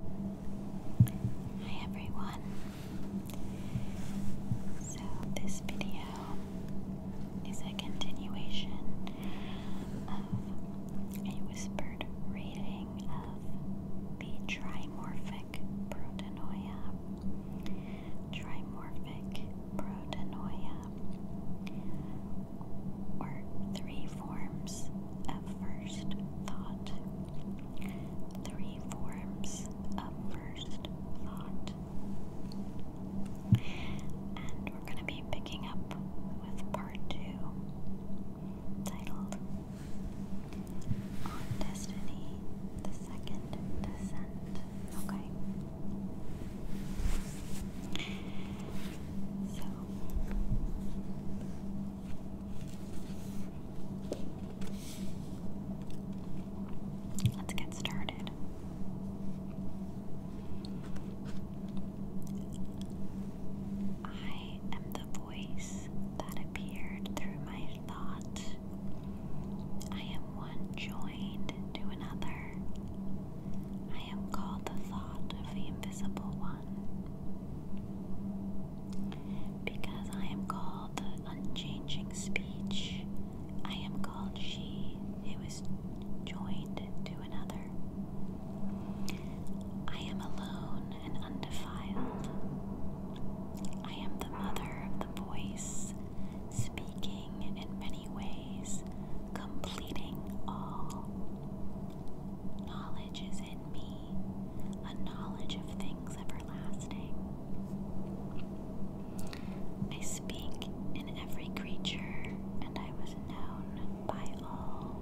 Hi everyone. So this video is a continuation of a whispered reading of the trimorphic protonoia. Trimorphic protonoia or three forms of first thought three forms of first thought. And we're going to be picking up with part two, titled On Destiny, the Second Descent. Okay. So, Let's get started. I am the voice that appeared through my thought. I am one joined to another. I am called the thought of the invisible one. Because I am called the unchanging speech, I am called she who is joined to another. I am alone and undefiled. I am the mother of the voice, speaking in many ways, completing all. Knowledge is in me a knowledge of things everlasting. I speak in every creature, and I was known by all.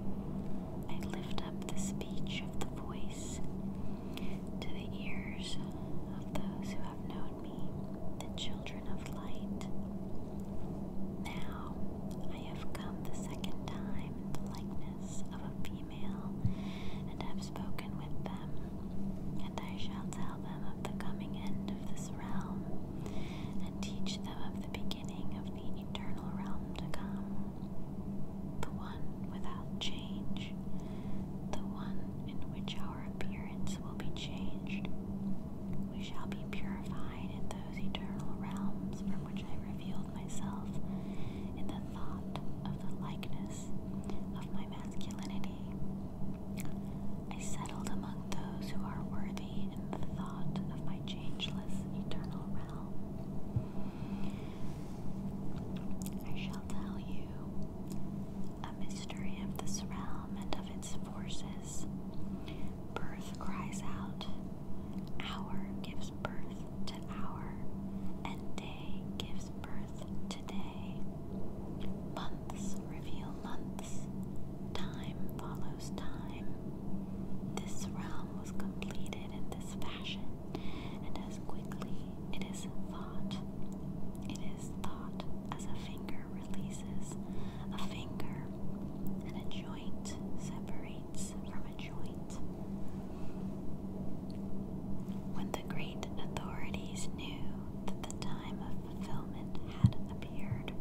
I lift up the speech of the voice to the ears of those who have known me, the children of light. Now I have come the second time in the likeness of a female, and have spoken with them. And I shall tell them of the coming end of this realm, and teach them of the beginning of the eternal realm to come. The one without change, the one in which our appearance will be changed. We shall be purified in those eternal realms from which I reveal myself in the thought of the likeness of my masculinity. I settled among those who are worthy in the thought of my changeless eternal realm. I shall tell you a mystery of this realm and of its forces. Birth cries out Hour gives birth to hour, and day gives birth to day. Months reveal months, time follows time. This realm was completed in this fashion, and as quickly it is thought. It is thought as a finger releases a finger and a joint separates from a joint. When the great authorities knew that the time of fulfillment had appeared,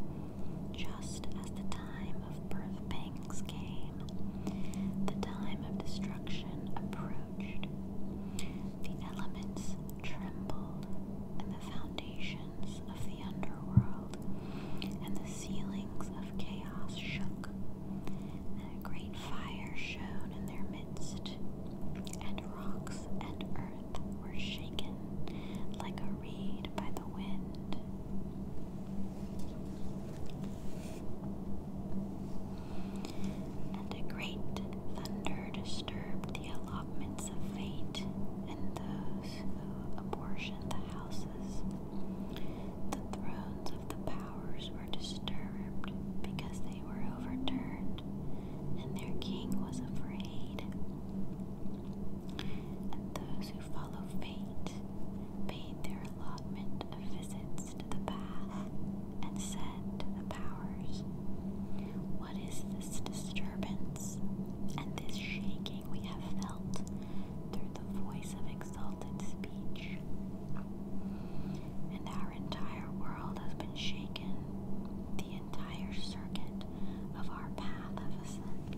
just as the time of birth pains came, the time of destruction approached. The elements trembled, and the foundations of the underworld and the ceilings of chaos shook, and a great fire shone in their midst, and rocks and earth were shaken like a reed by the wind. And a great thunder disturbed the allotments of fate and those who apportioned the houses. The thrones of the powers were disturbed because they were overturned, and their king was afraid. And those who follow fate paid their allotment of visits to the bath and said to the powers, What is this disturbance and this shaking we have felt through the voice of exultation?" exalted speech. And our entire world has been shaken, the entire circuit of our path of ascent.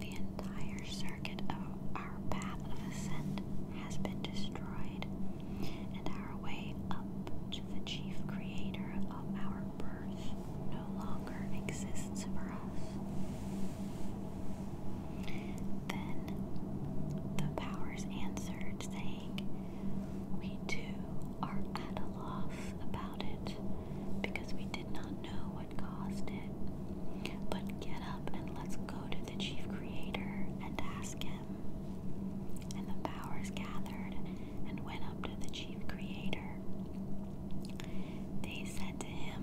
The entire circuit of our path of ascent has been destroyed, and our way up the chief creator of our birth no longer exists for us. Then the powers answered, saying, We too are at a loss about it, because we did not know what caused it. But get up and let's go to the chief creator and ask him. And the powers gathered and went up to the chief creator. They said to him,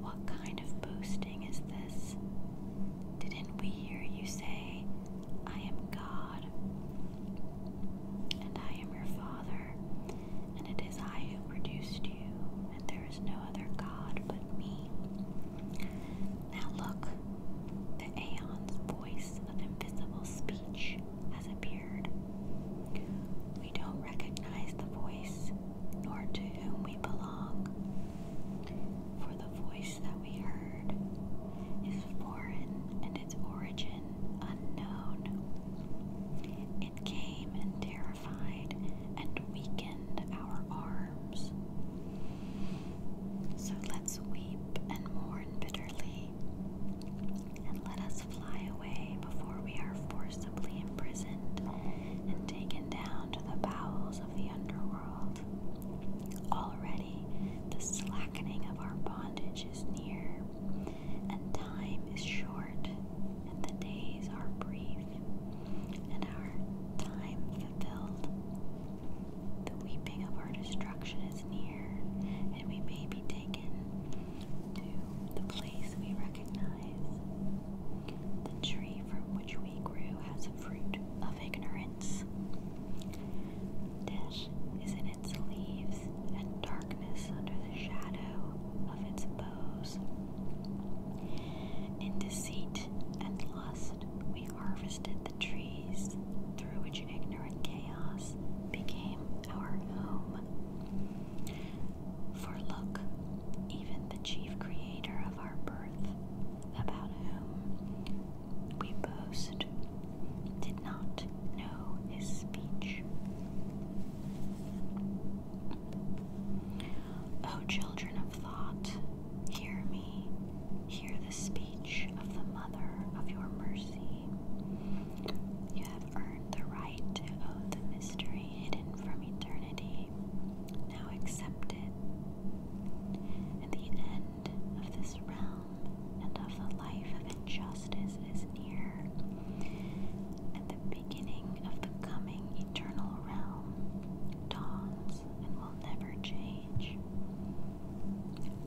What kind of boasting is this? Didn't we hear you say, I am God, and I am your Father, and it is I who produced you, and there is no other God but me? Now look, the Aeon's voice of invisible speech has appeared. We don't recognize the voice nor to whom we belong, for the voice that we heard is foreign and its origin unknown. It came and terrified and weakened our arms. So let's weep and mourn bitterly and let us fly away before we are forcibly imprisoned and taken down to the bowels of the underworld. Already the slackening of our bondage is near, and time is short, and the days are brief, and our time fulfilled. The weeping of our destruction is near, and we may be dead to the place we recognize. The tree from which we grew has a fruit of ignorance. Death is in its leaves, and darkness under the shadow of its boughs. In deceit and lust, we harvested the trees through which such ignorant chaos became our home. For look, even the chief creator of our birth, about whom we boast, did not know his speech. O children of thought, hear me, hear the speech of the mother of your mercy. You have earned the right to own the mystery hidden from eternity. Now accept it. And the end of this realm and of the life of injustice is near, and the beginning of the coming eternal realm dawns and will never change.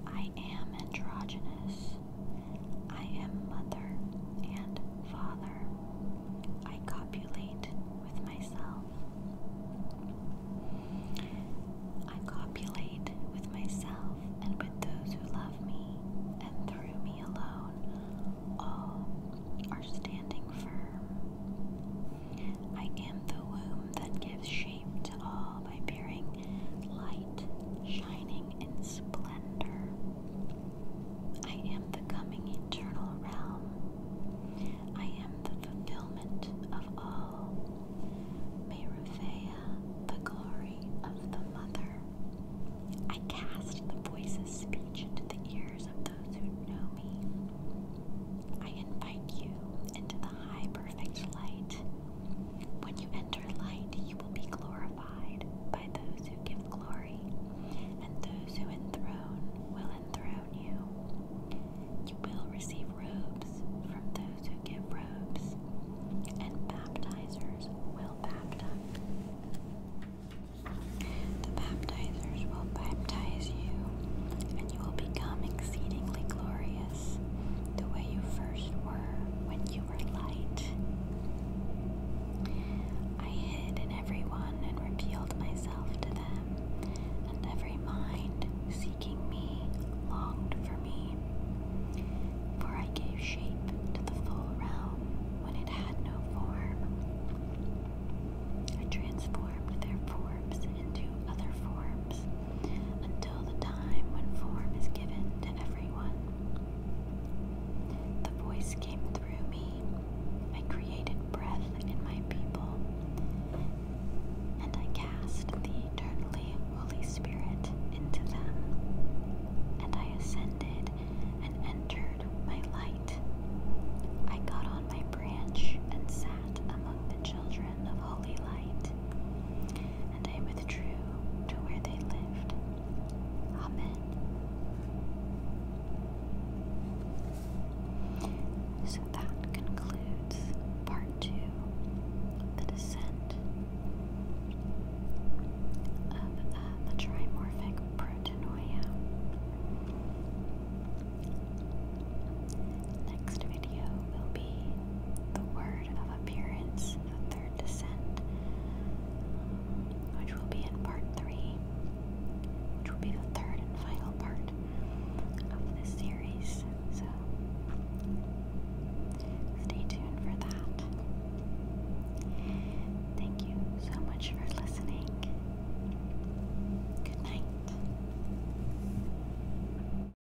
I am androgynous. I am mother and father. I copulate with myself. I copulate with myself and with those who love me, and through me alone, all are standing firm. I am the womb that gives shape to all by bearing light, shining in splendor. I am the coming eternal realm. I am the fulfillment of all. May Revea, the glory of the Mother. I cast the voice of speech into the ears of those who know me. I invite you into the high perfect light when you enter light, you will be glorified by those who give glory, and those who enthrone will enthrone you. You will receive robes from those who give robes, and baptizers will baptize. The baptizers will baptize you, and you will become exceedingly glorious the way you first were when you were light. I hid in everyone and revealed myself to them, and every mind seeking me longed for me. For I gave shape to the full realm when it had no form. I transformed their forms into other forms until the time when form is given to everyone. The voice came through me. I created breath in my people, and I cast the eternally Holy Spirit into them. And I ascended and entered my light. I got on my branch and sat among the children of holy light and I withdrew to where they lived. Amen. So that concludes part two the descent of uh, the trimorphic proteinuria. Next video will be the word of appearance, the third descent, um, which will be in part three, which will be the third and final part of this series. So stay tuned for that. Thank you so much for listening. Good night.